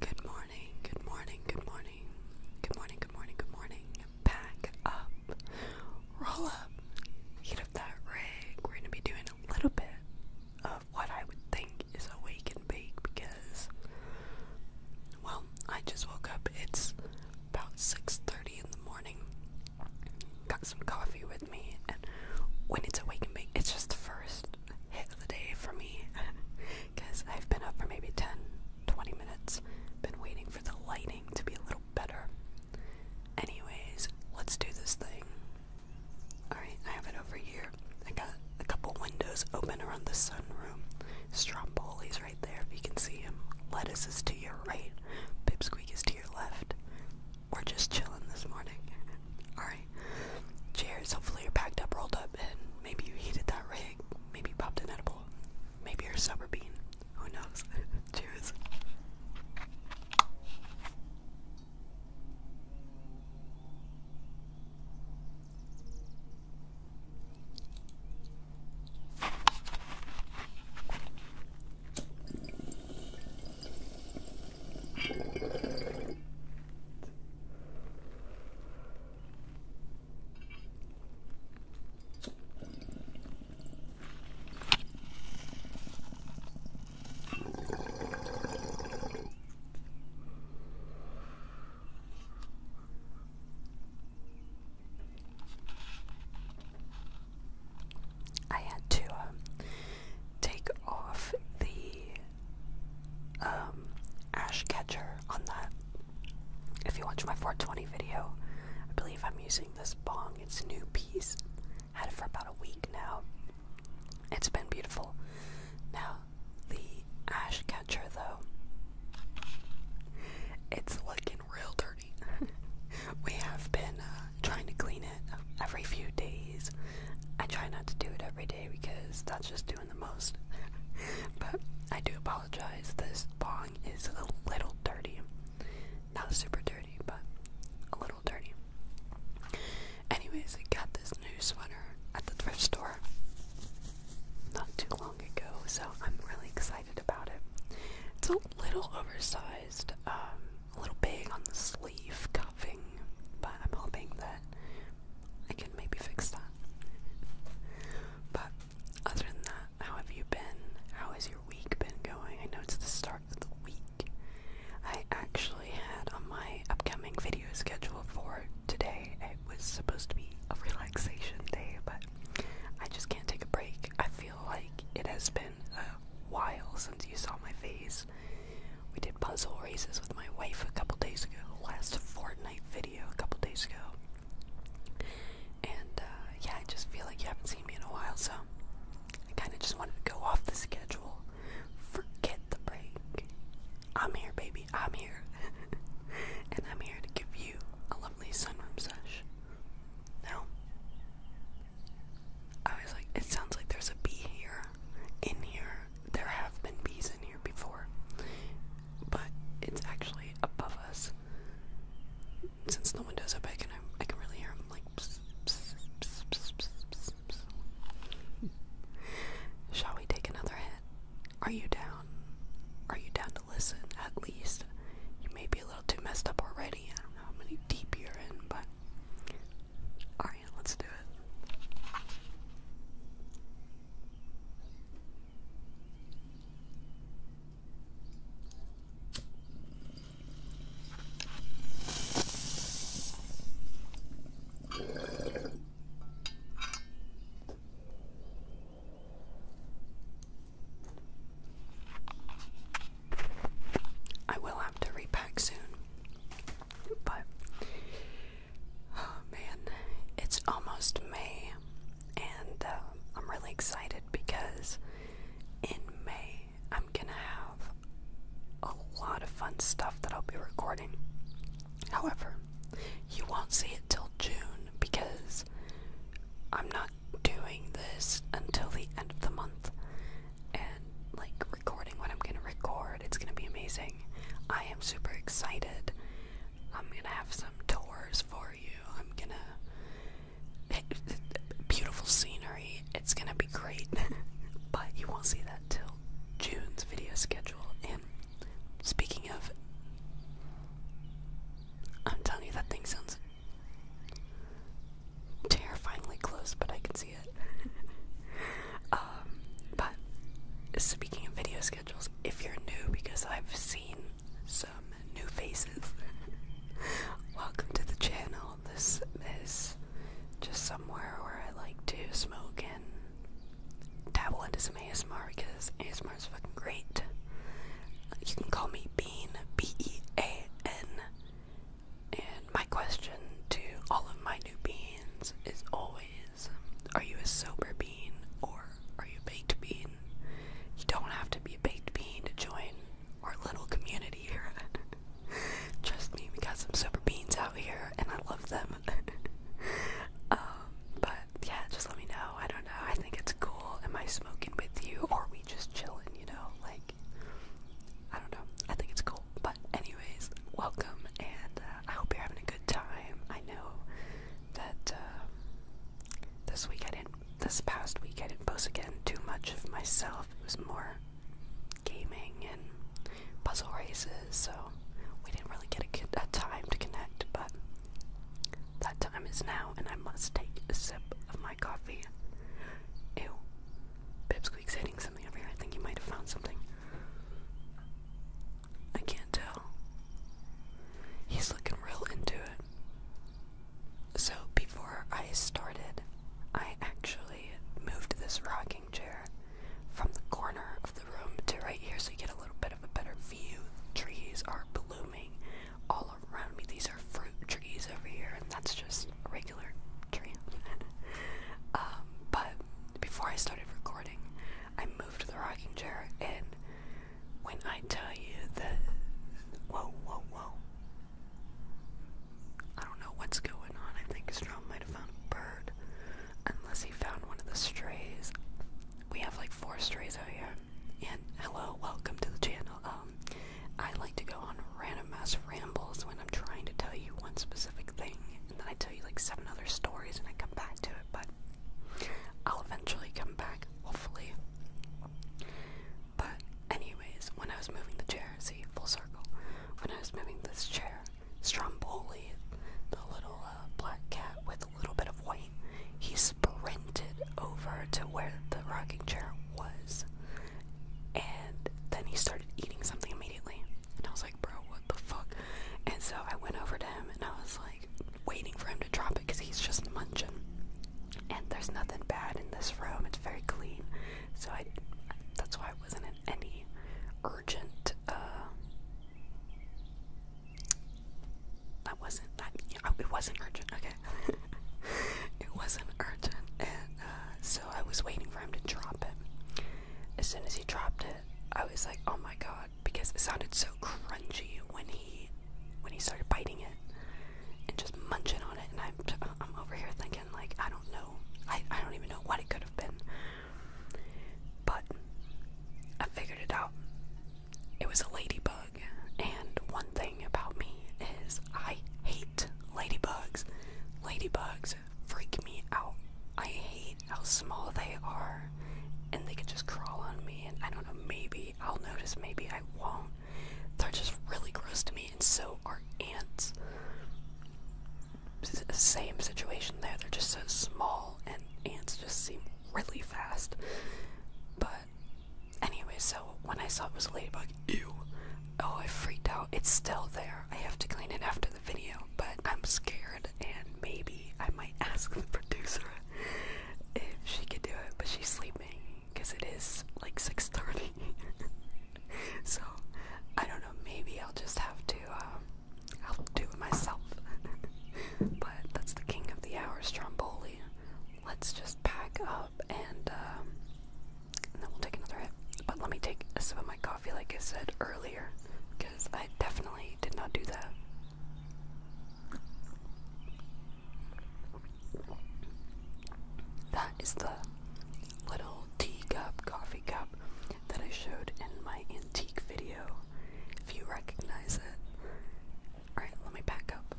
Good morning, good morning, good morning, good morning, good morning, good morning. Pack up, roll up, heat up that rig. We're gonna be doing a little bit of what I would think is a wake and bake because, well, I just woke up. It's about 6:30 in the morning. Got some coffee with me, and when it's a wake and bake, it's just the first hit of the day for me because I've been up for maybe 10 20 minutes, been waiting for the lighting to be a little better. Anyways, let's do this thing. Alright, I have it over here. I got a couple windows open around the sunroom. Stromboli's right there if you can see him. Lettuce is to your right, Pipsqueak is to your left. We're just chilling this morning. All right. Cheers. Hopefully you're packed up, rolled up, and maybe you heated that rig. Maybe popped an edible. Maybe you're a sober bean. Who knows? Cheers. I had to um, take off the um, ash catcher on that. If you watch my 420 video, I believe I'm using this bong. It's a new piece. Had it for about a week now. It's been beautiful. Now, the ash catcher though, it's looking real dirty. we have been uh, trying to clean it every few days. I try not to do it every day because that's just too the most. but I do apologize. This bong is a little dirty. Not super dirty, but a little dirty. Anyways, I got this new sweater at the thrift store not too long ago, so I'm really excited about it. It's a little oversized, um, a little big on the sleeve cuffing, but I'm hoping that I can maybe fix that. But other than that, how have you been? How has your week been going? I know it's the start of the week. I actually had on my upcoming video schedule for today, it was supposed to be a relaxation day, but I just can't take a break. I feel like it has been a while since you saw my face. We did puzzle races with my wife a couple days ago, last Fortnite video a couple days ago. And uh, yeah, I just feel like you haven't seen me in a while, so I kind of just wanted to go off the schedule. Forget the break. I'm here, baby. I'm here. and I'm here to give you a lovely sunroom sesh. Now, I was like, it sounds like there's a bee here. In here, there have been bees here before, but it's actually above us. Since the windows are i can really hear them like. Shall we take another hit? Are you down? Are you down to listen? At least you may be a little too messed up already. I don't know how deep you're in, but alright, let's do it. I will have to repack soon, but Oh man, it's almost May, and uh, I'm really excited because in May I'm gonna have a lot of fun stuff that I'll be recording. However, you won't see it till June because I'm not doing this until the end of the month and like recording what I'm gonna record. It's gonna be amazing. I am super excited. I'm gonna have some tours for you. I'm gonna beautiful scenery. It's gonna be great, but you won't see that till June's video schedule. And speaking of, I'm telling you that thing sounds terrifyingly close, but I can see it. um, but speaking of video schedule if you're new, because I've seen some new faces. Welcome to the channel. This is just somewhere where I like to smoke and dabble into some ASMR because ASMR is fucking great. You can call me Bean, B E A N. And my question to all of my new beans is always are you a sober bean or are you a baked bean? You don't have to be a baked bean to join our little community here. Trust me, we got some sober beans out here and I love them. Um, but yeah, just let me know. I don't know. I think it's cool. Am I smoking with you or are we just chilling, you know? Like, I don't know. I think it's cool. But, anyways, welcome and uh, I hope you're having a good good time. I know that um, this week I didn't, this past week I didn't post again too much of myself. It was more gaming and puzzle races, so we didn't really get a, a time to connect, but that time is now, and I must take a sip of my coffee. Ew. Pipsqueak's hitting something over here. I think he might have found something. I can't tell. He's looking real into it. So, before I started, I actually moved this rocking chair from the corner of the room to right here so you get a little bit of a better view. trees are blooming all around me. These are fruit trees over here, and that's just regular tree. Um, but before I started recording, I moved the rocking chair, and when I tell you that, whoa, whoa, whoa, I don't know what's going on. I think Strom might have found a bird, unless he found one of the strays. We have like four strays out here. And hello, welcome to the channel. Um, I like to go on random ass rambles when I'm trying to tell you one specific thing, and then I tell you like seven other stories and I come back to it, but I'll eventually come back, hopefully. But anyways, when I was moving the chair, see, full circle, when I was moving this chair, Stromboli, the little uh, black cat with a little bit of white, he sprinted over to where the rocking chair was. And then he started eating something immediately. And I was like, bro, what the fuck? And so I went over to him and I was like, waiting for him to drop it because he's just munching. And there's nothing bad in this room, it's very clean. So I, that's why I wasn't in any urgent, uh, wasn't, oh, it wasn't urgent, okay. it wasn't urgent. And uh, so I was waiting for him to drop it. As soon as he dropped it, I was like, oh my god, because it sounded so crunchy when he when he started biting it and just munching on it, and I'm uh, I'm over here thinking like I don't know, I I don't even know what it could have been, but I figured it out. It was a ladybug, and one thing about me is I hate ladybugs. Ladybugs freak me out. I hate how small they are and they can just crawl on me and I don't know, maybe I'll notice, maybe I won't. They're just really gross to me and so are ants. same situation there, they're just so small and ants just seem really fast. But anyway, so when I saw it was a ladybug, ew. Oh, I freaked out. It's still there. I have to clean it after the video, but I'm scared and maybe I might ask the producer if she could do it, but she's sleeping because it is like 6.30. so, I don't know, maybe I'll just have to, um, I'll do it myself. but that's the king of the hours, Stromboli. Let's just pack up and, um, and then we'll take another hit. But let me take a sip of my coffee like I said earlier. I definitely did not do that. That is the little teacup, coffee cup that I showed in my antique video. If you recognize it. Alright, let me back up.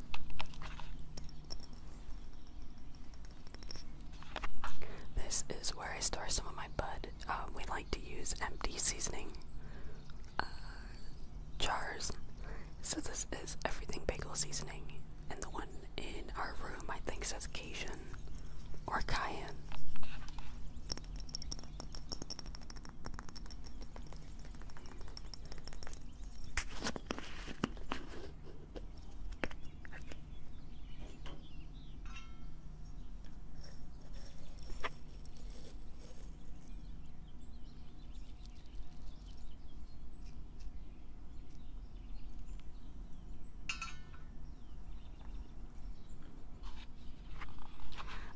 This is where I store some of my bud. Uh, we like to use empty seasoning uh, jars. So this is everything bagel seasoning, and the one in our room I think says Cajun or Cayenne.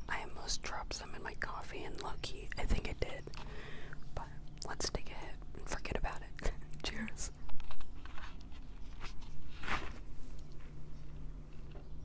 I almost dropped some in my coffee and lucky, I think it did. But let's take a hit and forget about it. Cheers.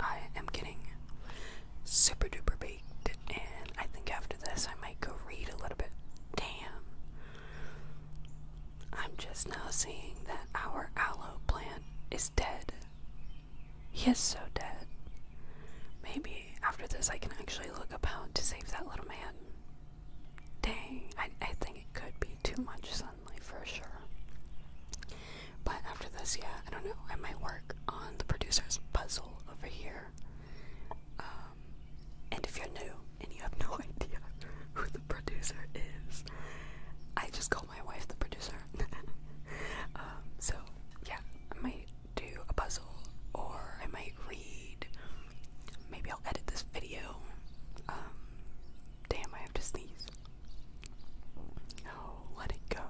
I am getting super duper baked, and I think after this I might go read a little bit. Damn. I'm just now seeing that our aloe plant is dead. Yes, so dead. Maybe after this I can actually look up how to save that little man. Dang, I, I think it could be too much sunlight for sure. But after this, yeah, I don't know. I might work on the producer's puzzle over here. Um, and if you're new and you have no idea who the producer is, I just call my wife the producer. Um, so, yeah, I might do a puzzle or I might read. Maybe I'll edit this video. Um, damn, I have to sneeze. Oh, let it go.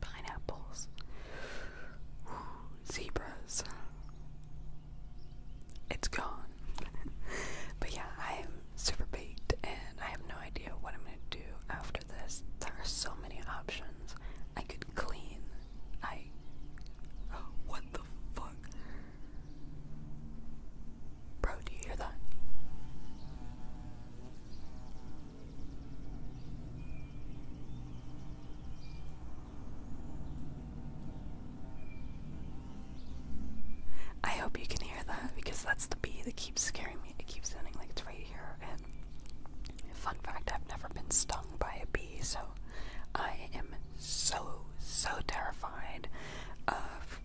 Pineapples. zebras. It's gone. but yeah, I am super baked and I have no idea what I'm gonna do after this. There are so many options. I could clean. I. what the fuck? Bro, do you hear that? I hope you can hear that because that's the bee that keeps scaring me. It keeps sounding like it's right here. And fun fact, I've never been stung by a bee, so I am so, so terrified of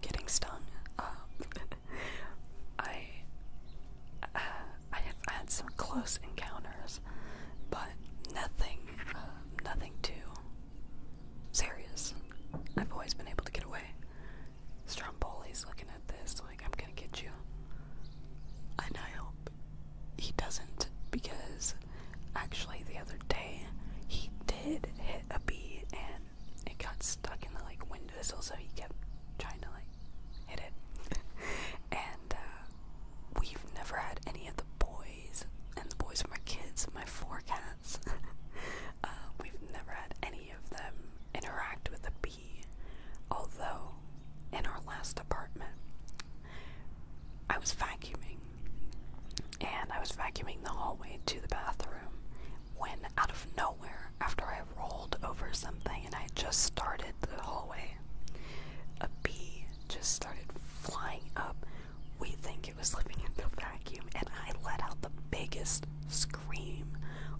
getting stung. Um, I uh, I have had some close encounters, but nothing uh, nothing too serious. I've always been able to get away. Stromboli's looking at this like I'm gonna get you. And I hope he doesn't because actually the other day he did hit a bee and it got stuck in the like windowsill, so he kept trying to like hit it. and uh, we've never had any of the boys, and the boys are my kids, my four cats. Uh, we've never had any of them interact with a bee. Although, in our last apartment, I was vacuuming, and I was vacuuming the hallway to the bathroom, when out of nowhere, after I rolled over something and I just started the hallway, a bee just started flying up. We think it was living in the vacuum, and I let out the biggest scream.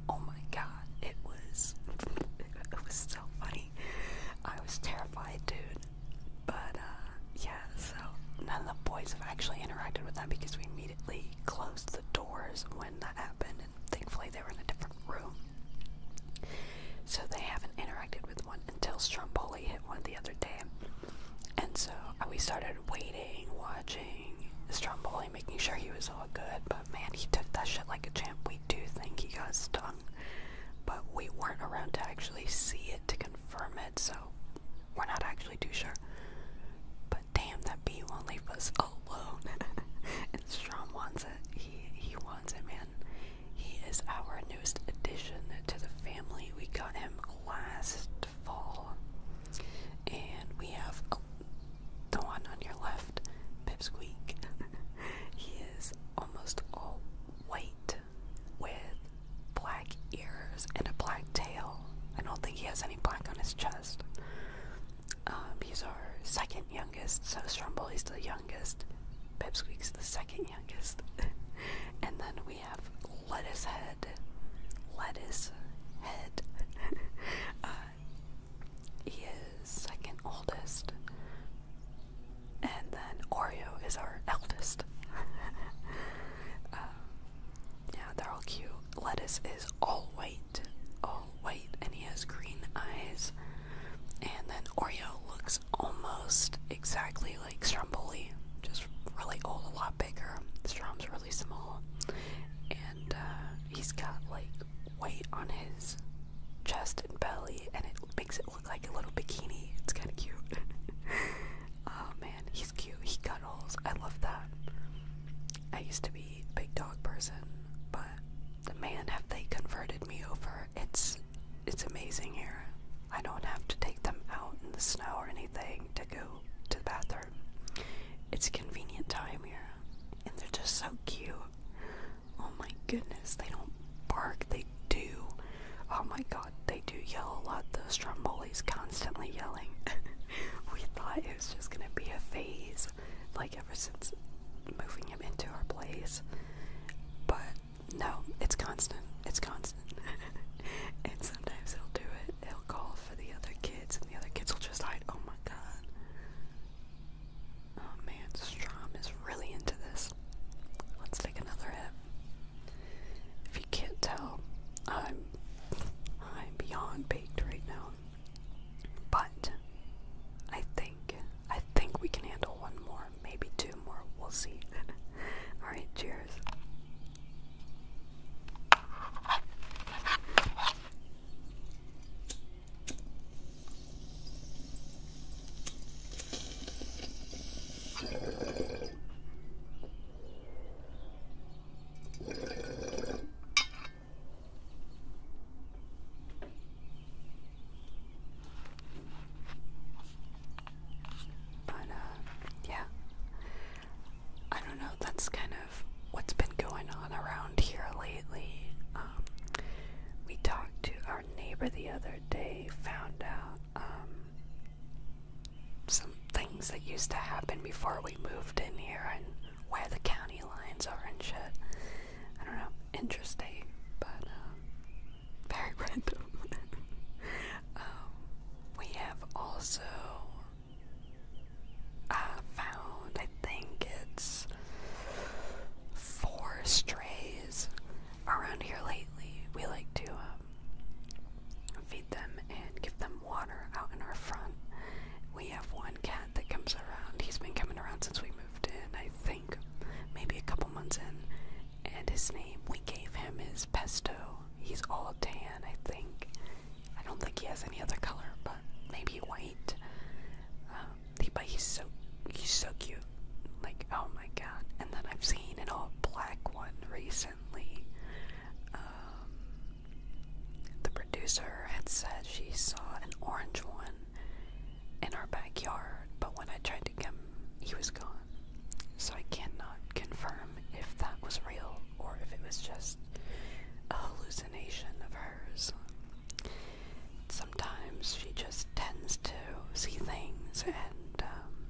Oh my god, it was it was so funny. I was terrified, dude. But uh, yeah, so none of the boys have actually interacted with that because we immediately closed the doors when that happened, and thankfully they were in a different room. So they haven't interacted with one until Stromboli hit one the other day. And so uh, we started waiting, watching Stromboli, making sure he was all good. But man, he took that shit like a champ. We do think he got stung, but we weren't around to actually see it to confirm it. So we're not actually too sure. But damn, that bee won't leave us alone. and Strom wants it. He he wants it, man. He is our newest addition to the family. We got him last fall, and we have the one on your left, Pipsqueak. he is almost all white with black ears and a black tail. I don't think he has any black on his chest. Um, he's our second youngest, so Strumble's the youngest, Pipsqueak's the second youngest. and then we have Lettuce Head. Lettuce Head. Uh, he is second oldest. And then Oreo is our eldest. Um, yeah, they're all cute. Lettuce is all white, all white, and he has green eyes. And then Oreo looks almost exactly like Stromboli, just really old, a lot bigger. Strom's really small, and uh, he's got like white on his chest and belly, and it makes it look like a little bikini. It's kind of cute. oh man, he's cute. He cuddles. I love that. I used to be a big dog person, but the man have they converted me over. It's it's amazing here. I don't have to take them out in the snow or anything to go to the bathroom. It's convenient time here. And they're just so cute. Oh my goodness, they don't bark, they do. Oh my god, they do yell a lot. Those Stromboli's constantly yelling. we thought it was just gonna be a phase, like ever since moving him into our place. But no, it's constant. It's constant. and sometimes he'll do it. He'll call for the other kids, and the other kids will just hide. Oh my god. Oh man, Strom is really into this. Let's take another hit if can't tell, I'm I'm beyond baked right now. But I think I think we can handle one more, maybe two more. We'll see. All right, cheers. But, uh, yeah. I don't know, that's kind of what's been going on around here lately. Um, we talked to our neighbor the other day, found out um, some things that used to happen before we moved in here and where the county lines are and shit. I don't know, interesting, but um, very random. um, we have also uh, found, I think it's four strays around here lately. We like to um, feed them and give them water out in our front. We have one cat that comes around. He's been coming around since we moved in, I think, maybe a couple months in. And his name, we gave him is pesto. He's all tan, I think. I don't think he has any other color, but maybe white. Um, but he's so he's so cute. Like, oh my god. And then I've seen an all black one recently um, the producer had said she saw an orange one in our backyard, but when I tried to come, he was gone. So I cannot confirm if that was real or if it was just a hallucination of hers. Sometimes she just tends to see things and um,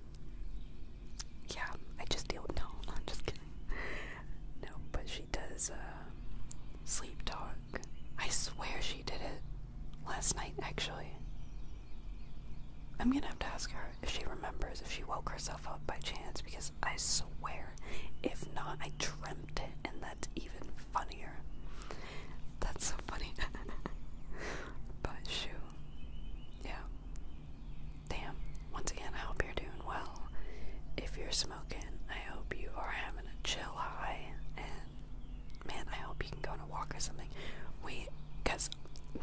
yeah, I just don't know. No, I'm just kidding. No, but she does uh, sleep talk. I swear she did it last night, actually. I'm gonna have to ask her if she remembers if she woke herself up by chance because I swear, if not, I dreamt it, and that's even funnier. That's so funny. but she, yeah. Damn, once again, I hope you're doing well. If you're smoking, I hope you are having a chill high. And man, I hope you can go on a walk or something. We, because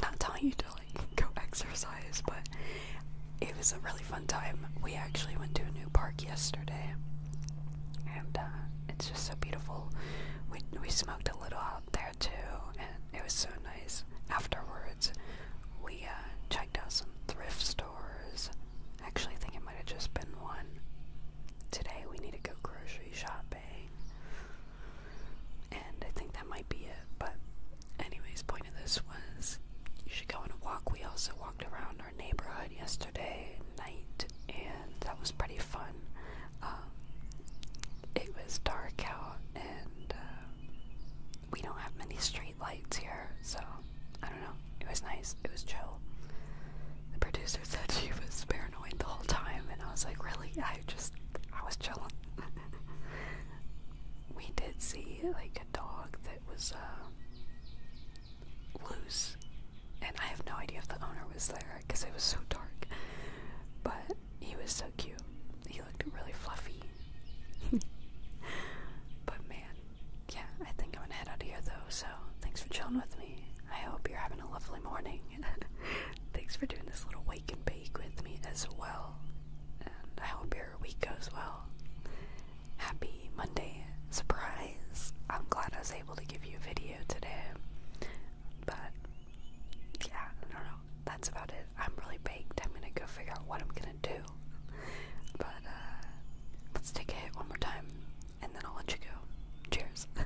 not telling you to like go exercise, but it was a really fun time. We actually went to a new park yesterday, and uh, it's just so beautiful. We, we smoked a little out there too, and it was so nice afterwards we uh, checked out some thrift stores. Actually, I think it might have just been one. Today we need to go grocery shopping. And I think that might be it. But, anyways, point of this was you should go on a walk. We also walked around our neighborhood yesterday night, and that was pretty fun. Um, it was dark out, and uh, we don't have many street lights here, so I don't know. It was nice. It was chill. The producer said she was paranoid the whole time, and I was like, really? I just, I was chilling. we did see like a dog that was uh, loose, and I have no idea if the owner was there because it was so dark. But he was so cute. He looked really fluffy but man, yeah, I think I'm gonna head out of here though, so thanks for chilling with me. I hope you're having a lovely morning. thanks for doing this little wake and bake with me as well. And I hope your week goes well. Happy Monday. Surprise! I'm glad I was able to give you a video today. But yeah, I don't know that's about it. I'm really baked. I'm gonna go figure out what I'm gonna do. But uh, let's take a hit one more time, and then I'll let you go. Cheers.